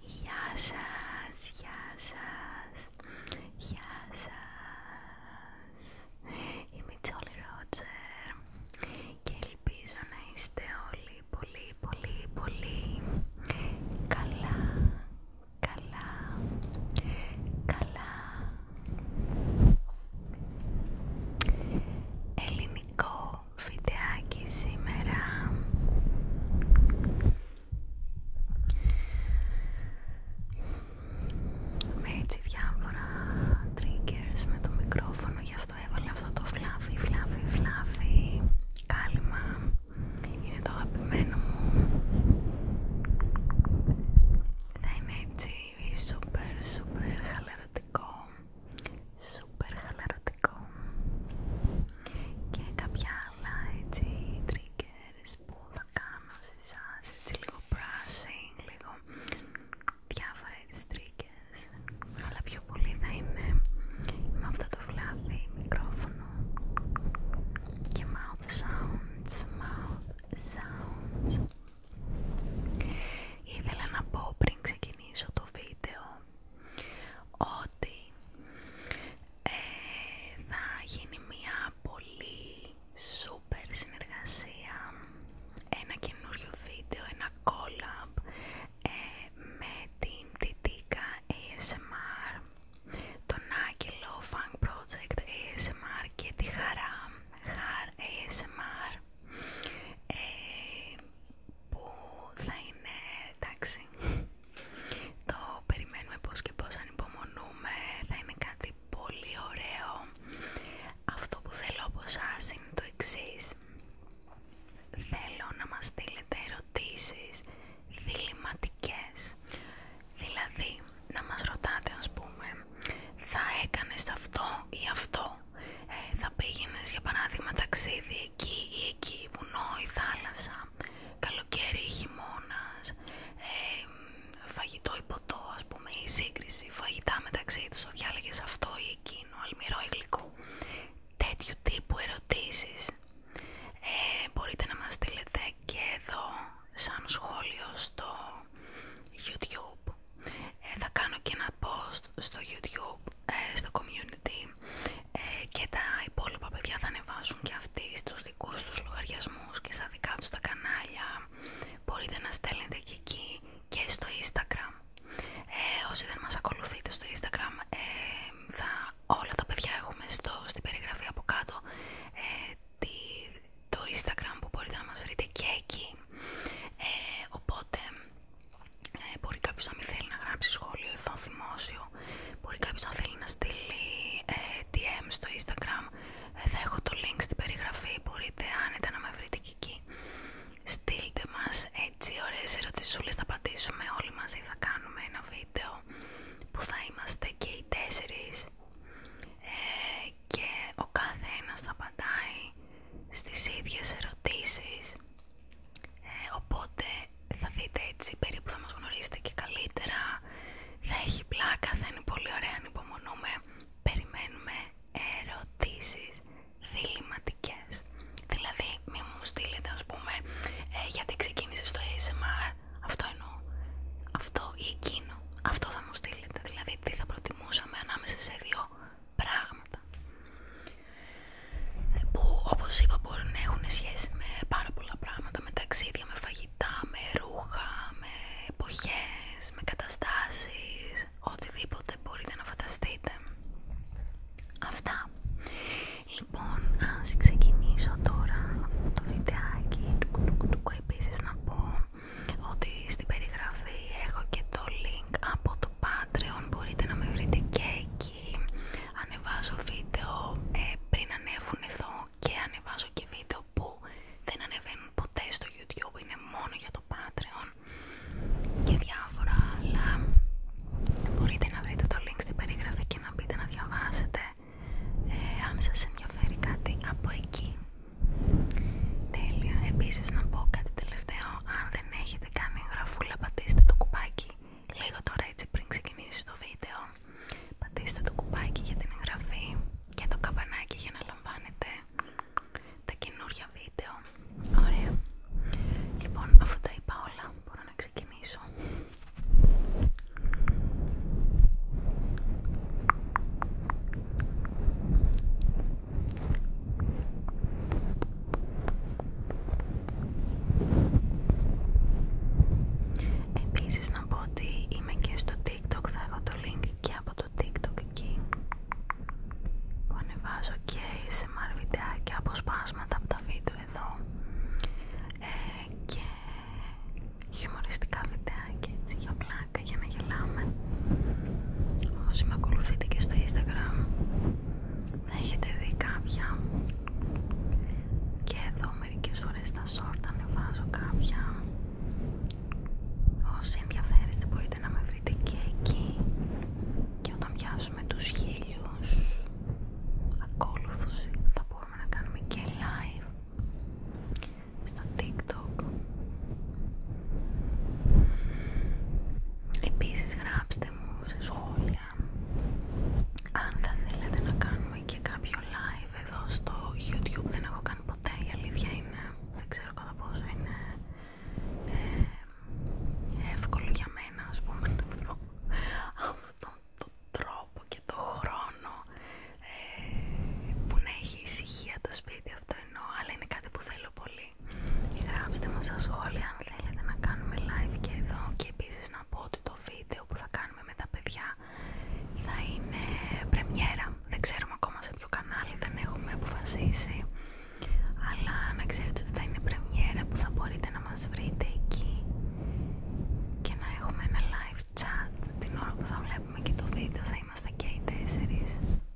Γεια σας, γεια σας, γεια σας Είμαι η Τζόλι και ελπίζω να είστε όλοι πολύ πολύ πολύ καλά, καλά, καλά Ελληνικό Φιντεάκι σήμερα με έτσι διάφορα triggers με το μικρόφωνο γι' αυτό έβαλα αυτό το φλάφι φλάφι φλάφι κάλυμα είναι το αγαπημένο μου θα είναι έτσι super super χαλαρωτικό σούπερ χαλαρωτικό και κάποια άλλα έτσι που θα κάνω σε εσάς λίγο brushing, λίγο διάφορα έτσι αλλά πιο πολύ θα είναι με αυτό το φλάβι μικρόφωνο και mouth sounds, mouth sounds Ήθελα να πω πριν ξεκινήσω το βίντεο ότι ε, θα γίνει μια πολύ σούπερ συνεργασία, ένα καινούριο βίντεο, ένα κόλαπ ε, με την Τιτίκα ASMR, τον Άγγελο Funk Project ASMR και τη Χαρά Χάρ ASMR. Ε, που θα είναι εντάξει. Το περιμένουμε πώς και πώς ανυπομονούμε, θα είναι κάτι πολύ ωραίο. Αυτό που θέλω από εσάς είναι το εξής. Θέλω να μας στείλετε ερωτήσεις διληματικές. Δηλαδή, να μας ρωτάτε ας πούμε, θα έκανες αυτό ή αυτό. Ε, θα πήγαινες για παράδειγμα ταξίδι εκεί ή εκεί, βουνό ή θάλασσα, καλοκαίρι ή χειμώνας, φαγητό ή ποτό ας πούμε ή σύγκριση, φαγητά μεταξύ τους, το διάλεγες αυτό ή εκείνο, αλμυρό ή γλυκό. Τέτοιου τύπου ερωτήσεις ε, μπορείτε να μας στείλετε και εδώ σαν σχόλιο στο YouTube. Ε, θα κάνω και ένα post στο YouTube ε, στο community ε, και τα υπόλοιπα παιδιά θα ανεβάσουν και αυτοί στους δικούς τους λογαριασμούς και στα δικά τους τα κανάλια μπορείτε να στέλνετε και εκεί και στο instagram ε, όσοι δεν μας ακολουθείτε στο instagram θα, όλα τα παιδιά έχουμε στο, στην περιγραφή από κάτω το instagram που μπορείτε να μας βρείτε και εκεί οπότε ε, μπορεί κάποιο να μην θέλει να γράψει σχόλιο εδώ δημόσιο. Μπορεί κάποιο να θέλει να στείλει tm ε, DM στο Instagram. Ε, θα έχω το link στην περιγραφή. Μπορείτε άνετα να με βρείτε και εκεί. Στείλτε μας έτσι ωραίες ερωτησούλες, θα απαντήσουμε όλοι μαζί, θα κάνουμε ένα βίντεο που θα είμαστε και οι τέσσερις και ο κάθε ένας θα απαντάει στις ίδιες ερωτήσεις ε, οπότε θα δείτε έτσι περίπου θα μας γνωρίσετε και καλύτερα θα έχει πλάκα, θα είναι πολύ ωραία υπομονούμε. περιμένουμε ερωτήσεις διληματικές δηλαδή μη μου στείλετε ας πούμε «Ε, γιατί ξεκίνησε στο ASMR αυτό εννοώ αυτό ή εκείνο αυτό θα μου στείλετε δηλαδή τι θα προτιμούσαμε ανάμεσα σε δύο πράγματα που όπως είπα μπορεί να έχουν σχέση με πάρα πολλά πράγματα, με ταξίδια, με φαγητά, με ρούχα, με εποχές, με καταστάσεις, οτιδήποτε μπορείτε να φανταστείτε. Αυτά. Λοιπόν, ας ξεκινήσω τώρα αυτό το βιντεάκι του επίσης να πω ότι στην περιγραφή έχω και το link από το μπορείτε να με βρείτε και εκεί ανεβάζω βίντεο ε, πριν ανέβουν εδώ και ανεβάζω και βίντεο που δεν ανεβαίνουν ποτέ στο YouTube είναι μόνο για το Patreon και διάφορα άλλα μπορείτε να βρείτε το link στην περιγραφή και να μπείτε να διαβάσετε ε, αν σας ενδιαφέρει κάτι από εκεί Τέλεια, επίσης να πω κάτι τελευταίο αν δεν αν έχετε κάνει εγγραφούλα πατήστε το κουπάκι λίγο τώρα έτσι πριν ξεκινήσει το βίντεο πατήστε το κουπάκι για την εγγραφή και το καμπανάκι για να λαμβάνετε τα καινούργια βίντεο ωραία λοιπόν αφού τα είπα όλα μπορώ να ξεκινήσω Επίσης να πω ότι είμαι και στο TikTok, θα έχω το link και από το TikTok εκεί που ανεβάζω και σε μαρβιντεάκια αποσπάσματα από τα βίντεο εδώ ε, και χιουμοριστικά βιντεάκια έτσι για πλάκα για να γελάμε όσοι με ακολουθείτε και στο Instagram έχετε δει κάποια και εδώ μερικές φορές στα σόρτα ανεβάζω κάποια όσοι ενδιαφέρεστε μπορείτε να με βρείτε και εκεί και όταν πιάσουμε τους χίλιους ακόλουθους θα μπορούμε να κάνουμε και live στο tiktok Επίσης γράψτε μου σε σχόλια αν θα θέλετε να κάνουμε και κάποιο live εδώ στο YouTube. Δεν έχω κάνει ποτέ, η αλήθεια είναι, δεν ξέρω κατά πόσο είναι ε, εύκολο για μένα ας πούμε να βρω αυτόν τον τρόπο και το χρόνο ε, που να έχει ησυχία το σπίτι αυτό εννοώ, αλλά είναι κάτι που θέλω πολύ Γράψτε μου στα σχόλια αν θέλετε να κάνουμε live και εδώ και επίσης να πω ότι το βίντεο που θα κάνουμε με τα παιδιά θα είναι πρεμιέρα. Δεν ξέρουμε ακόμα σε ποιο κανάλι, δεν έχουμε αποφασίσει. Αλλά να ξέρετε ότι θα είναι πρεμιέρα που θα μπορείτε να μας βρείτε εκεί και να έχουμε ένα live chat την ώρα που θα βλέπουμε και το βίντεο θα είμαστε και οι τέσσερις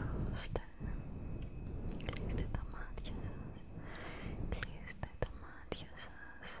Αρρώστε. Κλείστε τα μάτια σας. Κλείστε τα μάτια σας.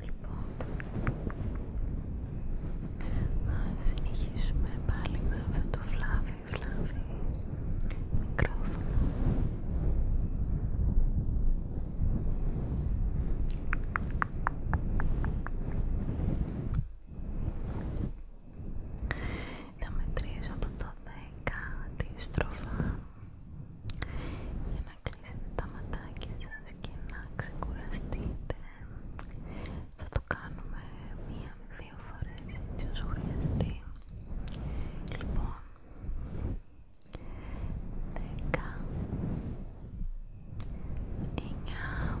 Λοιπόν, ας συνεχίσουμε πάλι με αυτό το φλάβι, φλάβι μικρόφωνο. Θα μετρήσω από το 10 αντίστροφα για να κλείσετε τα ματάκια σας και να ξεκουραστείτε. Θα το κάνουμε μία με δύο φορές έτσι όσο χρειαστεί. Λοιπόν, 10, 9,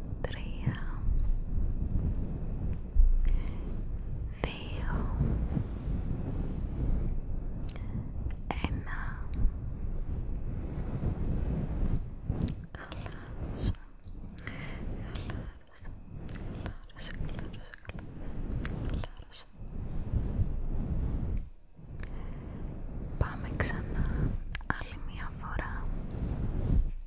τρία, δύο, ένα. Χαλάρωσα, χαλάρωσα, χαλάρωσα, χαλάρωσα, Πάμε ξανά άλλη μια φορά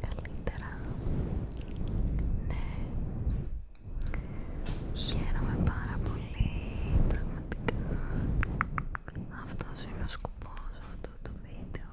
καλύτερα. Ναι. Χαίρομαι πάρα πολύ, πραγματικά. Αυτός είναι ο σκοπός αυτού του βίντεο.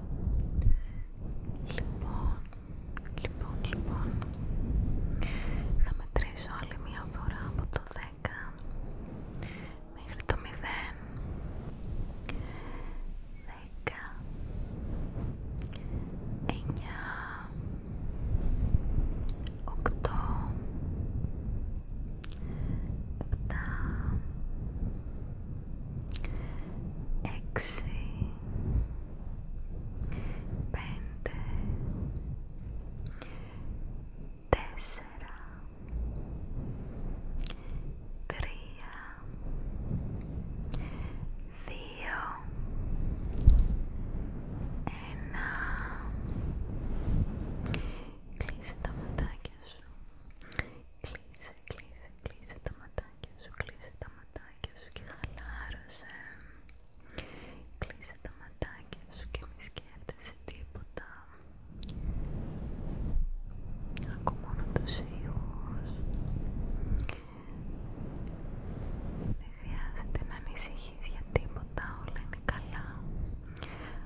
Λοιπόν, λοιπόν, λοιπόν, θα μετρήσω άλλη μία φορά από το 10 μέχρι το μηδέν. Δέκα, εννιά, οκτώ, έξι, πέντε, τέσσερα, τρία, δύο, ένα. Κλείσε τα ματάκια σου. Κλείσε Κλείσε, κλείσε, τα ματάκια σου, κλείσε τα ματάκια σου και χαλάρωσε. Κλείσε τα ματάκια σου και μη σκέφτεσαι τίποτα. ακόμα μόνο τους ήχους. Δεν χρειάζεται να ανησυχείς για τίποτα, όλα είναι καλά.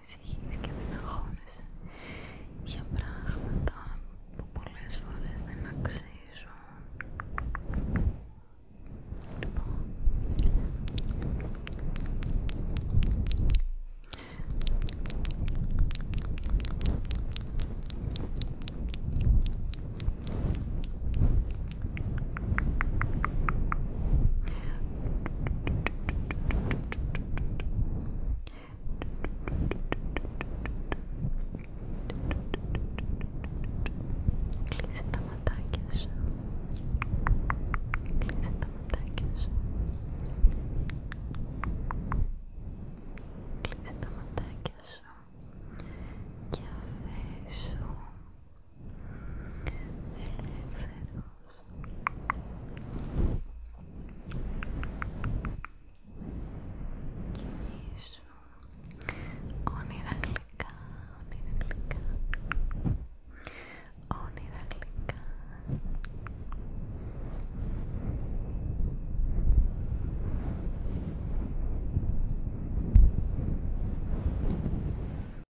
ανησυχείς και μην για πράγματα που πολλές φορές δεν αξίζουν. Κλείσε τα ματάκια σου. Κλείσε τα ματάκια σου. Κλείσε τα ματάκια σου. Και αφήσου Κινήσου όνειρα γλυκά, όνειρα γλυκά όνειρα γλυκά